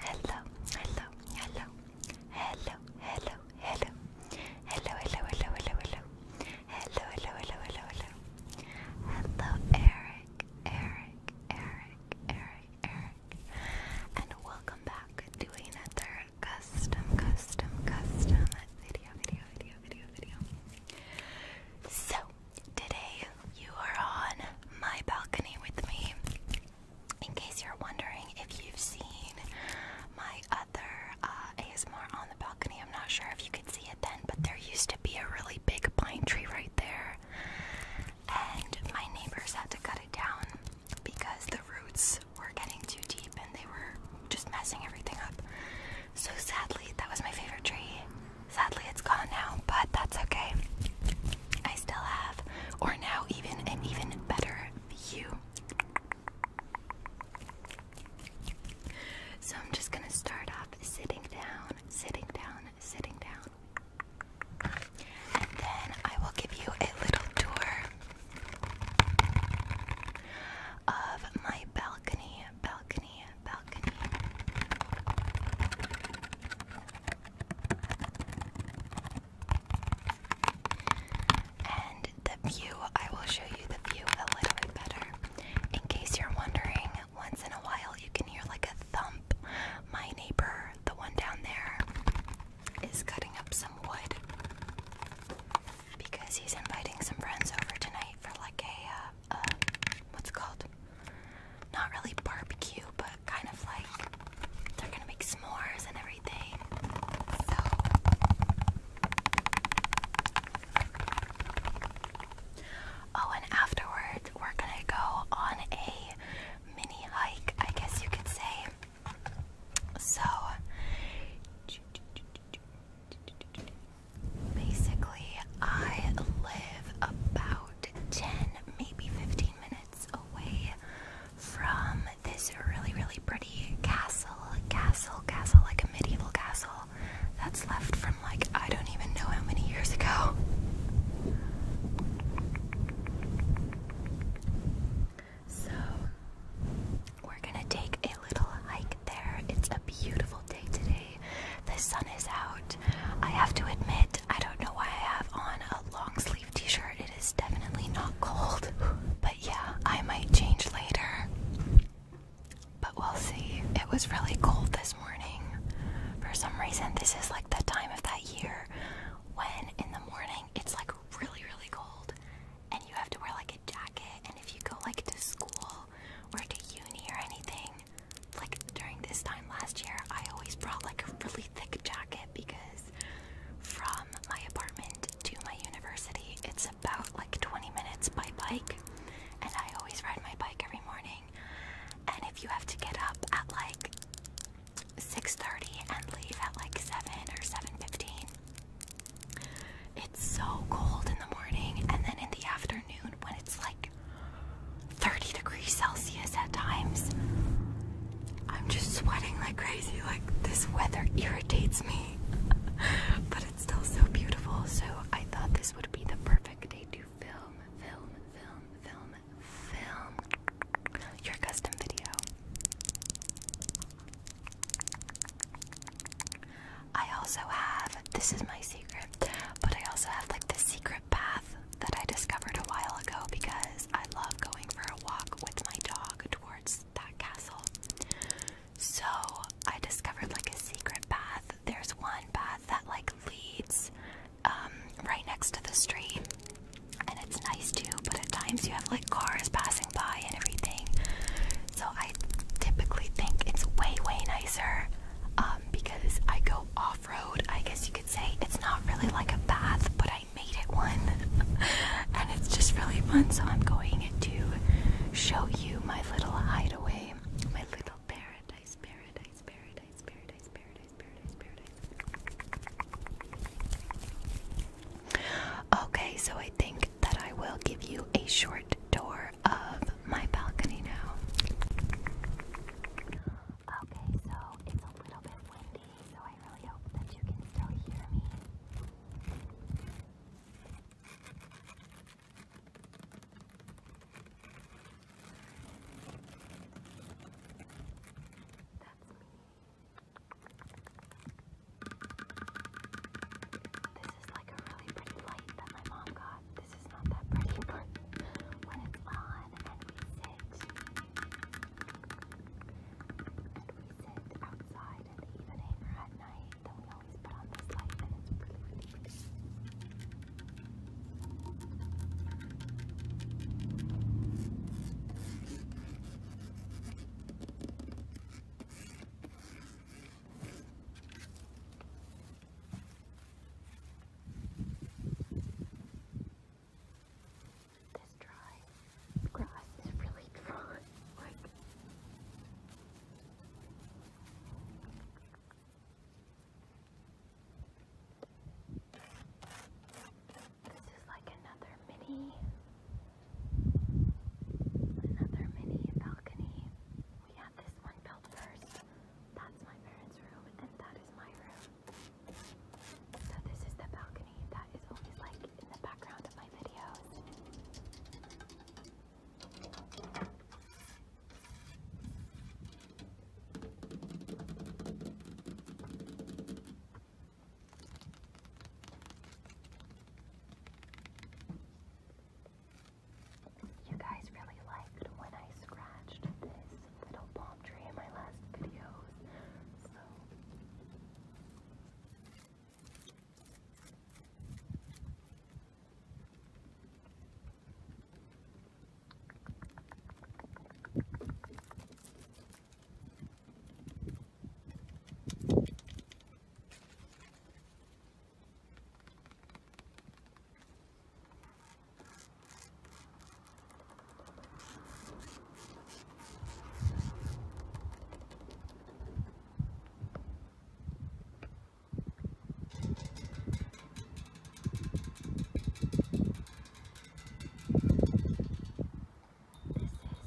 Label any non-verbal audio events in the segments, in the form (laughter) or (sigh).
Hello, hello, hello, hello, hello, hello, hello, hello, hello, hello, hello, hello, hello, hello, hello, hello, hello, Eric, Eric, Eric, Eric, Eric, and welcome back to another custom, custom, custom video, video, video, video, video. So Today, you are on my balcony with me. In case you're wondering if you've seen my other uh, ASMR on the balcony, I'm not sure if you could see it then, but there used to be a really big pine tree right there, and my neighbors had to cut it down because the roots were getting too deep and they were just messing everything up. So sadly, that was my favorite tree, Sadly, it's gone now, but that's okay. I still have, or now even an even better view. So I'm just gonna start off sitting down, sitting down, sitting down. And then I will give you a little tour of my balcony, balcony, and the view, I will show you the view a little bit better. In case you're wondering, once in a while you can hear like a thump. My neighbor, the one down there, is cutting up some wood because he's inviting some friends over tonight for like a uh, uh, what's it called? Not really barbecue, but kind of like they're gonna make s'mores and everything. Oh, and afterwards we're gonna go on a mini hike, I guess you could say. So Basically, I live about 10, maybe 15 minutes away from this really, really pretty castle, castle, castle, like a medieval castle that's left from like I don't even know how many years ago. So, we're gonna take a little hike there. It's a beautiful day today. The sun is out. I have to admit, I don't know why I have on a long sleeve t shirt. It is definitely not cold. (laughs) But yeah, I might change later. But we'll see. It was really cold this morning. For some reason, this is like the time of that year when in the morning it's like really, really cold and you have to wear like a jacket. And if you go like to school or to uni or anything, like during this time last year, I always brought like a really thick jacket because from my apartment to my university, it's about like 20 minutes by bike, and I always ride my bike every morning. And if you have to get up at like 6:30 and leave at like 7 or 7:15, it's so cold in the morning, and then in the afternoon when it's like 30 degrees Celsius at times. I'm just sweating like crazy. Like, this weather irritates me, (laughs) but it's still so beautiful. So, I thought this would be the perfect day to film, film, film, film, film your custom video. I also have this is my secret. But I also have like the secret path that I discovered a while ago because I love going for a walk with my dog towards that castle. So I discovered like a secret path. There's one path that like leads um, right next to the street, and it's nice too. But at times you have like cars passing by and everything. So I typically think it's way way nicer um, because I go off road. I guess you could say it's not really like a path, but I made it one, (laughs) and it's just really fun. So I'm going to show you my little hideaway, my little paradise, paradise, paradise, paradise, paradise, paradise, paradise. Okay, so I think that I will give you a short tour of my balcony now. Okay, so it's a little bit windy, so I really hope that you can still hear me. That's me is like a really pretty light that my mom This is not that pretty, (laughs) but when it's on and we sit, and we sit outside in the evening at night, then we always put on this light and it's really, pretty. This dry grass is really dry. (laughs) like this is like another mini another mini balcony this one built first. That's my parents' room, and that is my room. So this is the balcony that is always like in the background of my videos. You guys really liked when I scratched this little palm tree in my last videos, so this is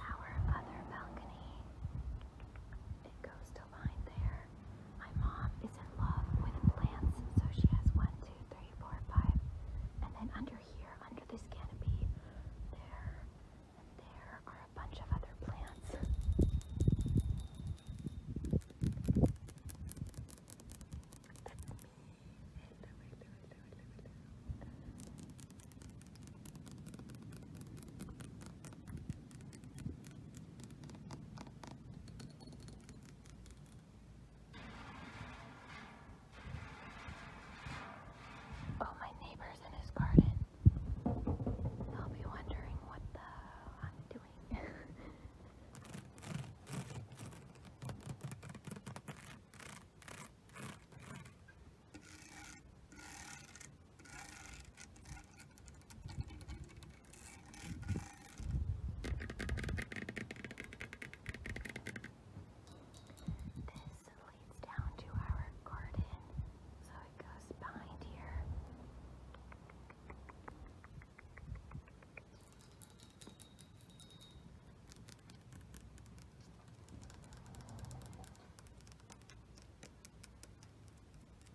our other balcony. It goes to there. My mom is in love with plants, so she has one, two, three, four, five. And then under here, under this canopy, there there are a bunch of other plants. Oh, my neighbor's in his garden. I'll be wondering what the I'm doing. (laughs) This leads down to our garden, so it goes behind here. This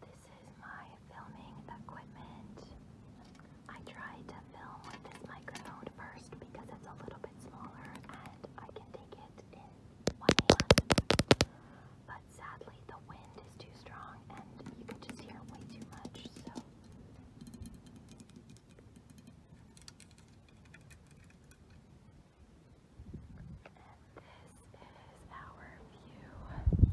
This is my filming equipment. I tried to film with this microphone first because it's a little bit smaller and I can take it in one hand. But sadly, the wind is too strong and you can just hear it way too much, so. this is our view. Ow.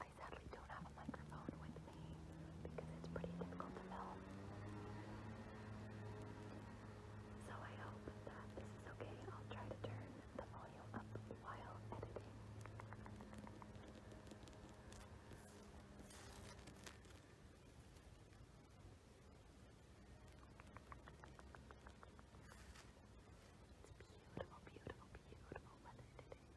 I sadly don't have a microphone with me because it's pretty difficult to film. So I hope that this is okay. I'll try to turn the volume up while editing. It's beautiful, beautiful, beautiful weather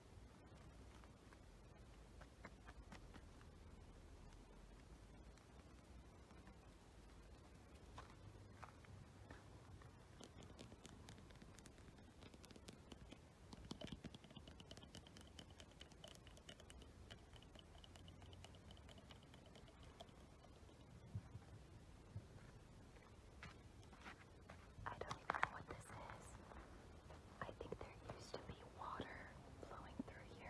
I don't know what this is. I think there used to be water flowing through here.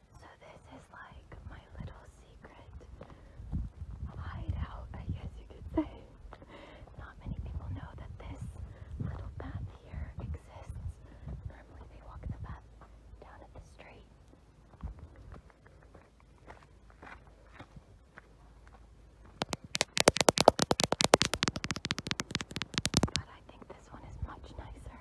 So this is like my little secret hideout, I guess you could say. Not many people know that this little path here exists. Normally they walk the path down at the street. But I think this one is much nicer.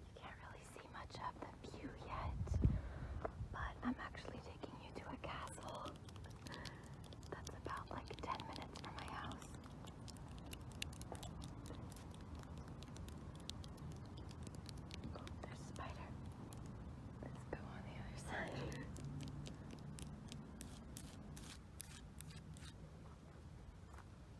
You can't really see much of the view yet, but I'm actually taking you to a castle that's about like 10 minutes from my house. Oh, there's a spider. Let's go on the other side.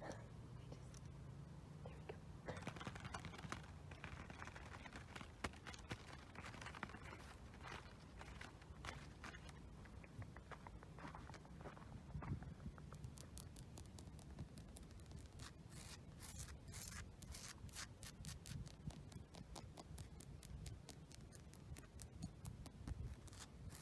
There it is. we just, there we go. There we go.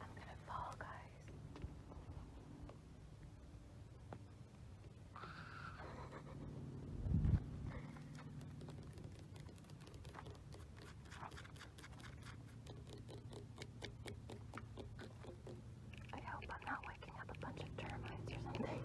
I'm gonna fall, guys. I hope I'm not waking up a bunch of termites or something.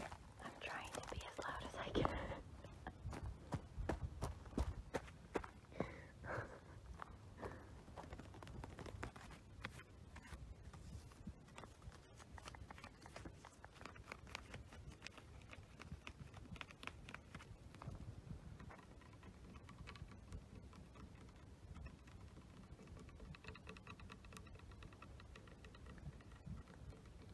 I'm trying to be as loud as I can.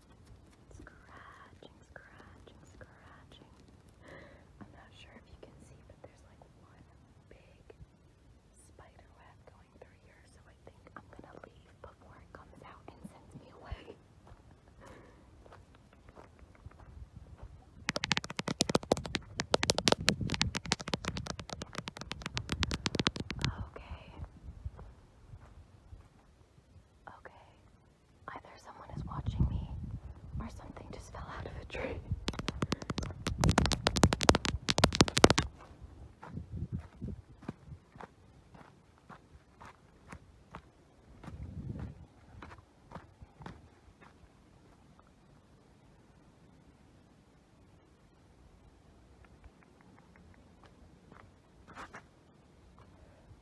Scratching, scratching, scratching. I'm not sure if you can see, but there's like one big spider web going through here, so I think I'm gonna leave before it comes out and sends me away. (laughs) Okay. Okay. Either someone is watching me or something just fell out of a tree.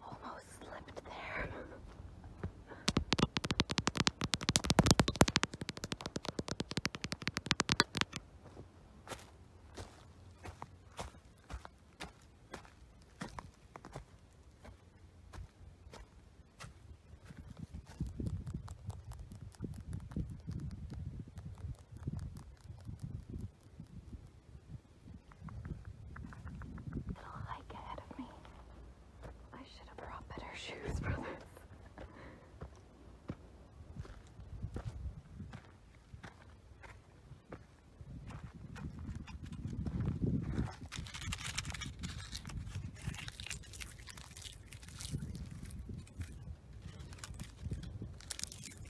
Almost slipped there. Little hike ahead of me. I should have brought better shoes for this.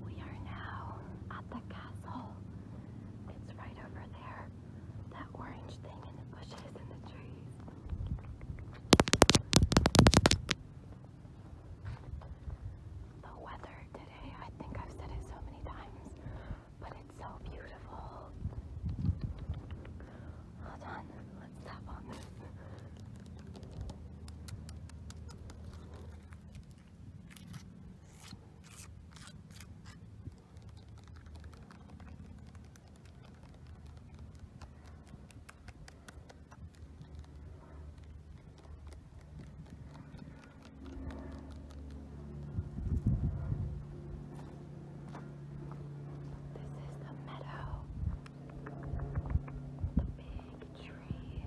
We are now at the castle. It's right over there. That orange thing in the bushes and the trees. The weather today, I think I've said it so many times, but it's so beautiful. Hold on, let's tap on this. This is the meadow, the big tree,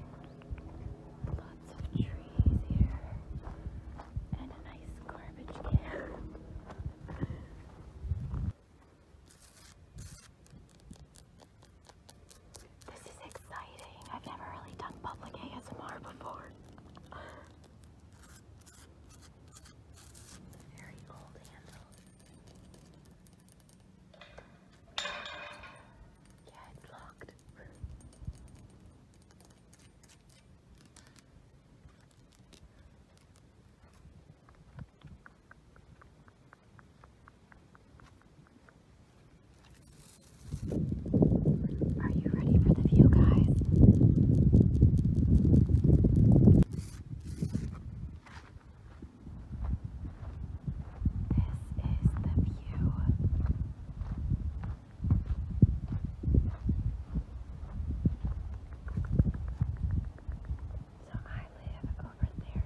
lots of trees here, and a nice garbage can. (laughs) This is exciting. I've never really done public ASMR before. Very old handle. Yeah, it's locked. Are you ready for the view, guys? This is the view. So I live over there,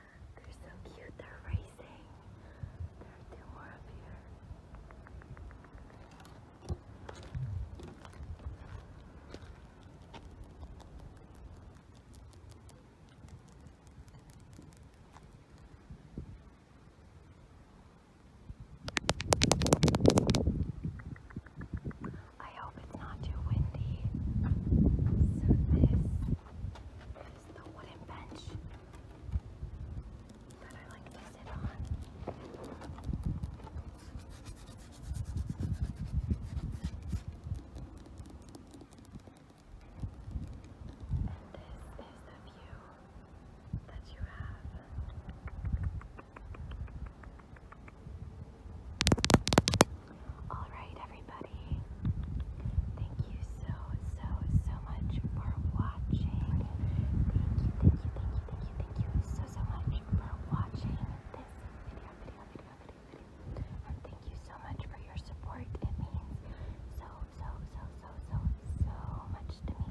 They're so cute, they're racing. There are two more up here. I hope it's not too windy. So this is the wooden bench that I like to sit on. And this is the view that you have. Alright, everybody. Thank you so, so, so much for watching. Thank you, thank you, thank you, thank you, thank you so, so much for watching this video, video, video, video, video. And thank you so much for your support. It means so, so, so, so, so, so much to me.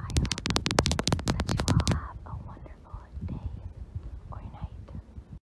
I hope that you all have a wonderful day or night.